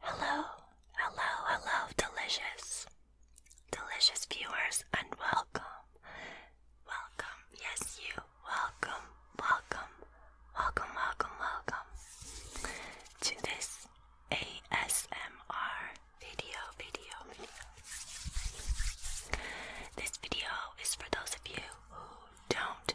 Hello, hello, hello, delicious, delicious viewers, and welcome, welcome, yes, you, welcome, welcome, welcome, welcome, welcome to this ASMR video, video, video. This video is for those of you who don't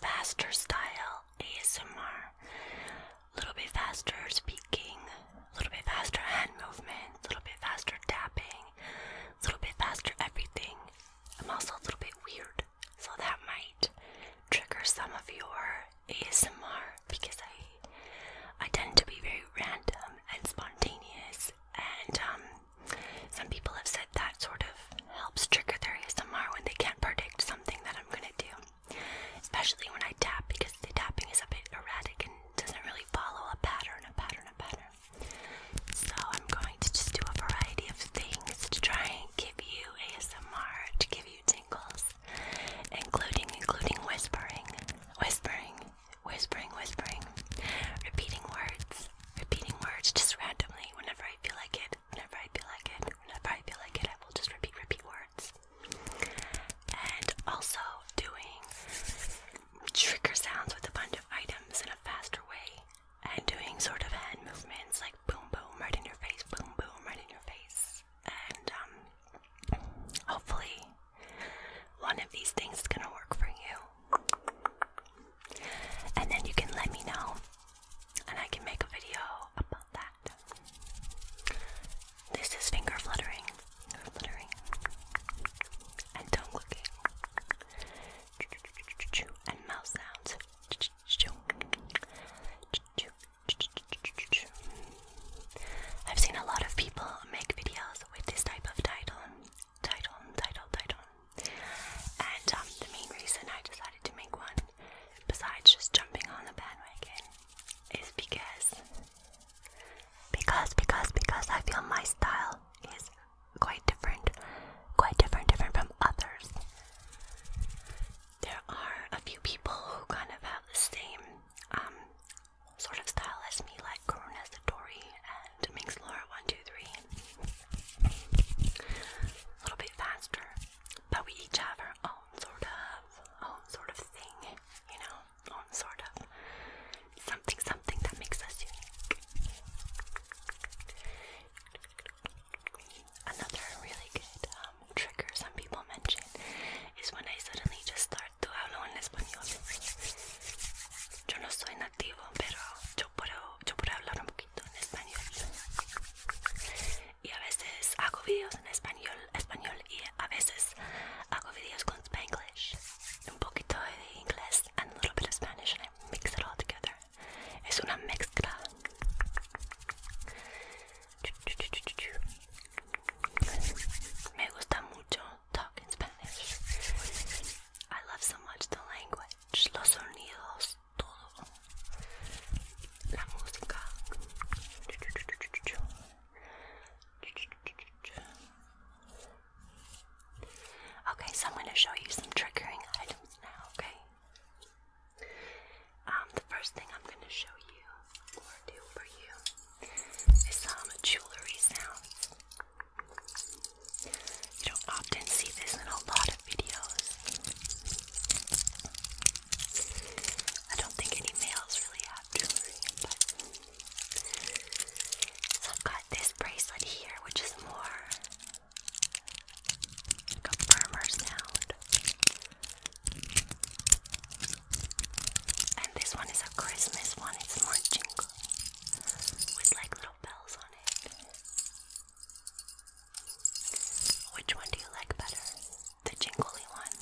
faster style ASMR. A little bit faster speaking, a little bit faster hand movement, a little bit faster tapping, a little bit faster everything. I'm also a little bit weird, so that might trigger some of your ASMR because I I tend to be very random and spontaneous and um some people have said that sort of helps trigger their ASMR when they can't predict something that I'm gonna do. Especially when I tap because the tapping is a bit erratic and doesn't really follow a pattern, a pattern, a pattern. So I'm going to just do a variety of things to try and give you ASMR, to give you tingles, including including whispering, whispering, whispering, whispering, repeating words, repeating words just randomly whenever I feel like it, whenever I feel like it, whenever I feel like it, I will just repeat, repeat words. And also doing trigger sounds with a bunch of items in a faster way. And doing sort of hand movements like boom, boom, right in your face, boom, boom, right in your face. And um, hopefully, one of these things is gonna work for you. And then you can let me know, and I can make a video about that. This is finger fluttering, fluttering, and tongue clicking, and mouth sounds. I've seen a lot of people make videos with this type of title, title, title, title. And um, the main reason I decided to make one, besides just jumping on the bandwagon, is because, because, because, because I feel my style is quite different, quite different, different from others. There are a few people who kind of have the same um, sort of style as me, like like Dory and makes Laura A little bit faster. But we each have our own sort of, own sort of thing, you know, own sort of something, something that makes us unique. Another really good um, trigger some people mention is when I suddenly just start to hablar en español. Yo no soy activo, pero yo puedo, puedo hablar un poquito en español. Y a veces hago videos en español, español y a veces hago videos con Spanglish. Un poquito de inglés and a little bit of Spanish and I mix it all together. Es una mezcla. Me gusta mucho talk in Spanish. I love so much the language, los sonidos, todo. La música. Okay, so I'm going to show you some triggering items now, okay? Um, the first thing I'm going to show you, or do for you, is some jewelry sounds. You don't often see this in a lot of videos. I don't think any males really have jewelry, but so I've got this bracelet here, which is more a firmer sound. And this one is a Christmas one, it's more jingly with like little bells on it. Which one do you like better? The jingly one?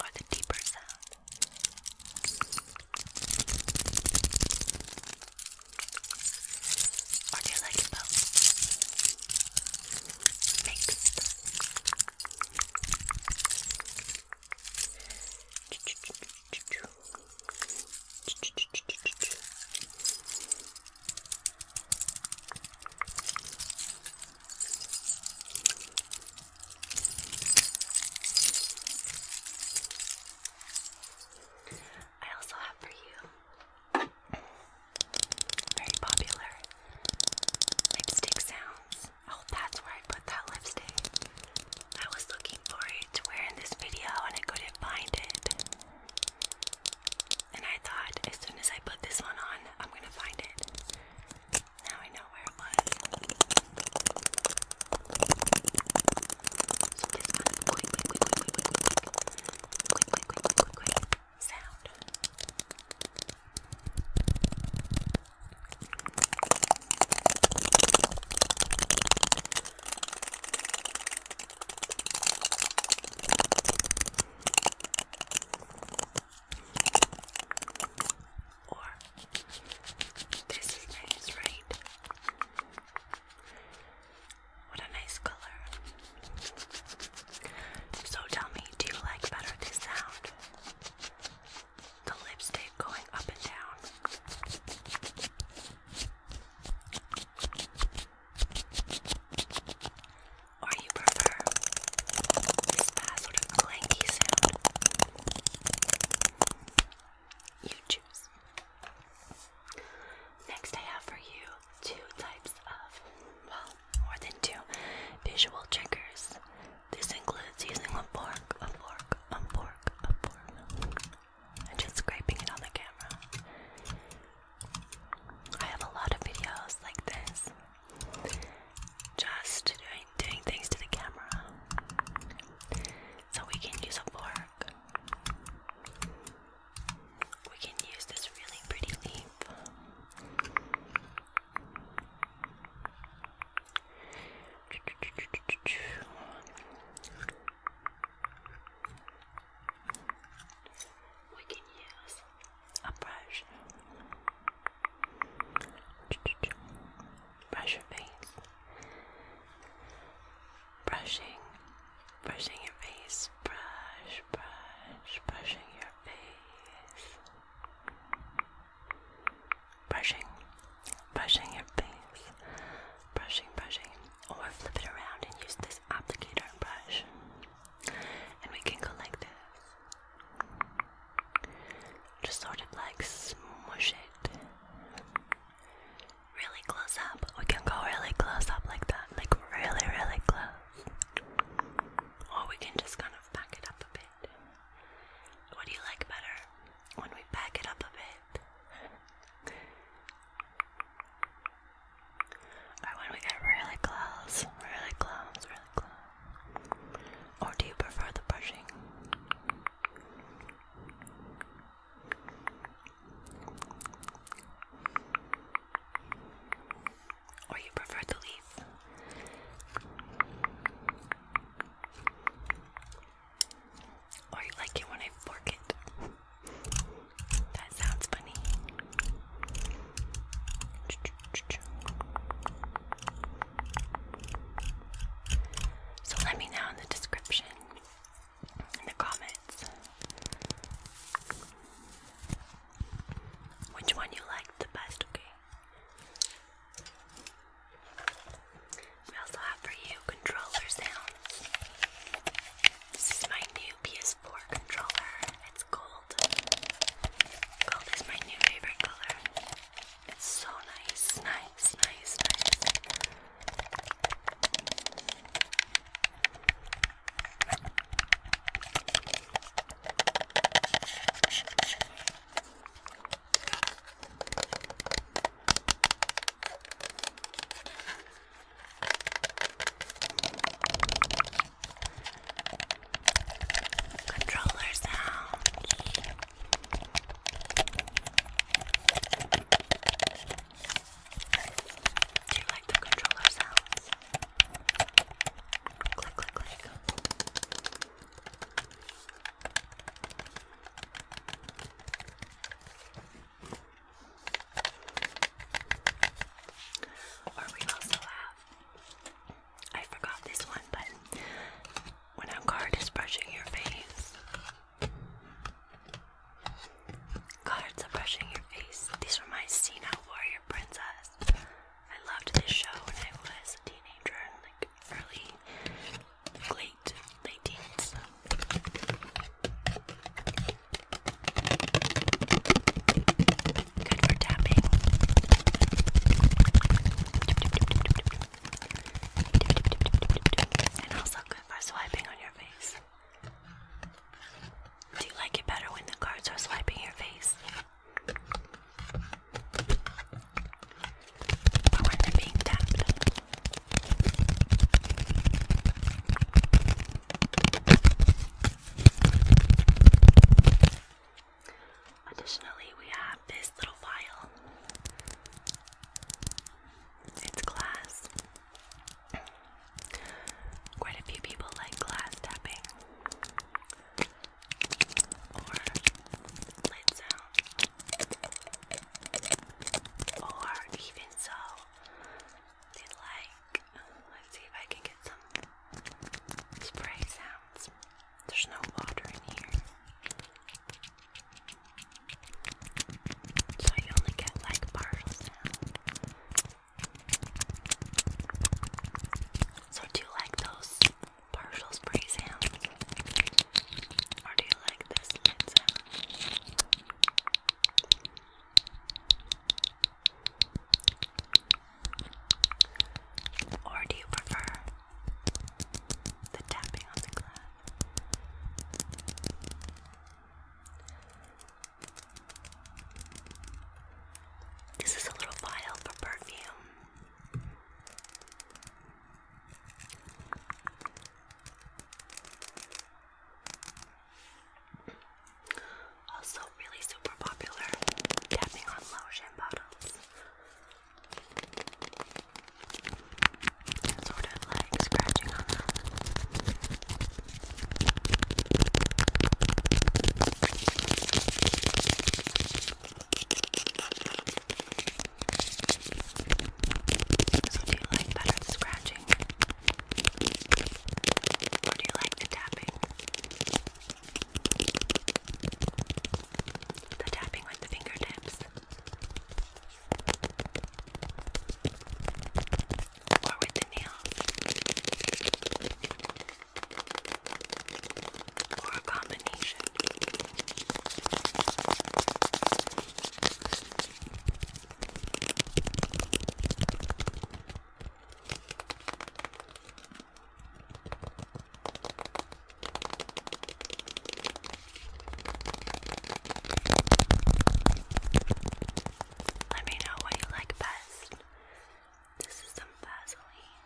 Or the deeper sound? Or do you like both? mixed. I also have for you very popular lipstick sounds. Oh, that's where I put that lipstick. I was looking for it to wear in this video and I couldn't find it. And I thought as soon as I put this one on, I'm gonna find it. Now I know where it was. So sound. Or this is right? What a nice color. So tell me, do you like better this sound? The lipstick going up and down. Or you prefer this sort of clanky sound? You choose. Next, I have for you two types of, well, more than two visual triggers. This includes using a fork, a fork, a fork, a fork, and just scraping it on the camera. I have a lot of videos like this, just doing, things to the camera. So we can use a fork we can use this really pretty leaf. We can use a brush. Brush your face brushing, brushing your face, brush, brush, brushing your face, brushing, brushing your face, brushing, brushing, or flip it around and use this applicator and brush, and we can go like this. Just sort of like smush it, really close up. We can go really close up like that, like really, really close. Or we can just kind of back it up a bit. What do you like better? When we back it up a bit? or when we get really close, really close, really close? Or do you prefer the brushing? Or you prefer to leave. Or you like it when I fork it. That sounds funny. So let me know in the description in the comments which one you liked the best, okay? We also have for you controller sounds. This is my new PS4 controller. It's gold. Gold is my new favorite color. It's so nice, nice, nice. Controller sounds. Do you like the controller sounds? Click, click, click. Or we also have, I forgot this one, but when a card is brushing your face, Cards are brushing your face. These were my Xena Warrior Princess. I loved this show when I was a teenager like early, late, late teens. Good for tapping. And also good for swiping on your face. Do you like it better when the cards are swiping your face? Or when they're being tapped? Additionally, we have this little vial. It's glass. Quite a few people like glass tapping or lid sound, or even so, they like. Let's see if I can get some spray sounds. There's no water in here. So you only get like partials now. So do you like those partial spray sounds? Or do you like this lid Or do you prefer the tapping on the glass? This is a little vial for perfume. Also, really super popular tapping on lotion bottles sort of like scratching on do you like better scratching? Or do you like the tapping? The tapping with the fingertips. Or with the nails. Or a combination. Let me know what you like best. This is some Vaseline.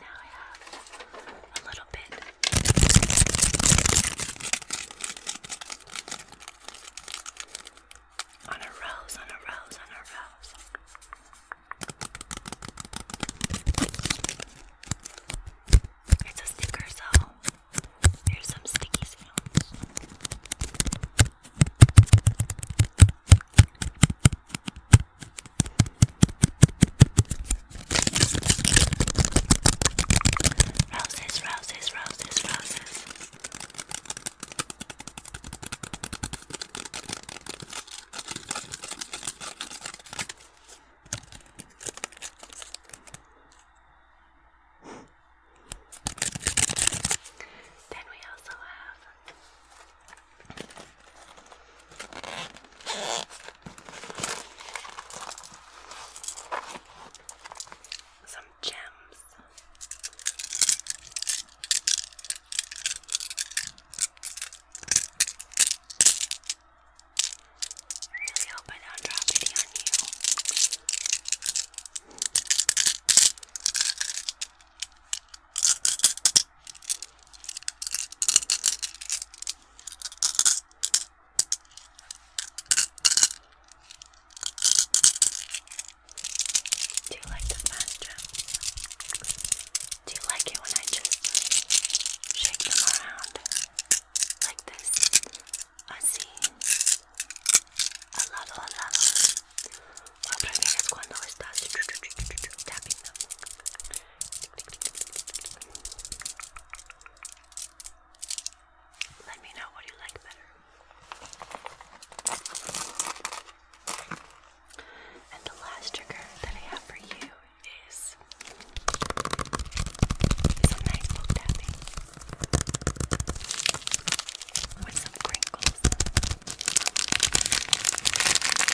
Now I have a little bit. On a rose, on a rose, on a rose. It's a sticker, so here's some sticky sounds. Roses, roses, roses, roses. Then we also have some gems. I really hope I don't drop any on you. Do you like the fast jumps? Do you like it when I just shake them around like this? I see. Al lado, al lado. Lo prefieres cuando estás tapping them. Let me know what you like better. And the last trigger that I have for you is some nice book tapping with some crinkles.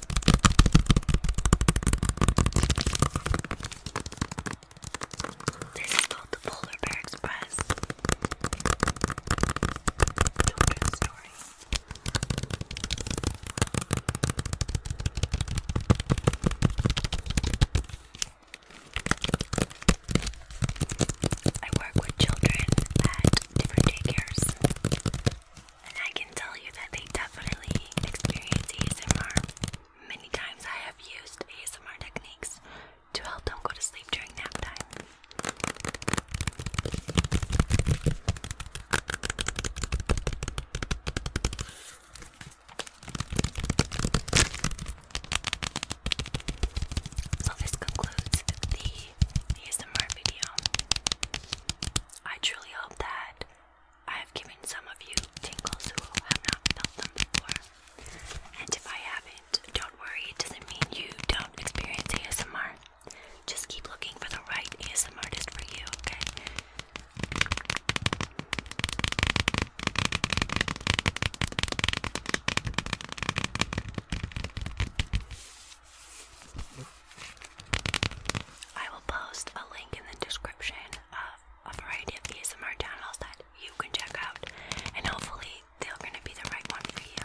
This is called the Polar Bear Express children's story. I work with children at different daycares. And I can tell you that they definitely experience ASMR. Many times I have used ASMR techniques to help them go to sleep during nap time. So, this concludes the ASMR video. I truly hope that I have given some of you tingles who have not felt them before. And if I haven't, don't worry, it doesn't mean you don't experience ASMR. Just keep looking for the right ASMR artist for you, okay? I will post a link in the description of a variety of ASMR channels that you can check out, and hopefully they're going to be the right one for you.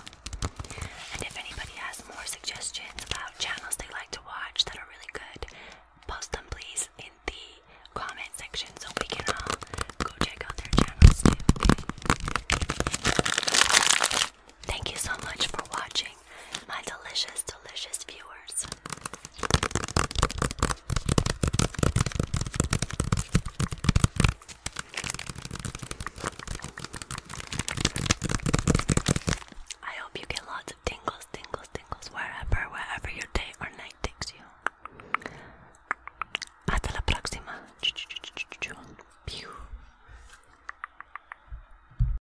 And if anybody has more suggestions about channels they like to watch that are really good, post them please in the comment section so we can all go check out their channels too. Thank you so much for watching my delicious, delicious viewers. I hope you get lots of tingles, tingles, tingles wherever, wherever your day or night takes you. Hasta la próxima. Pew.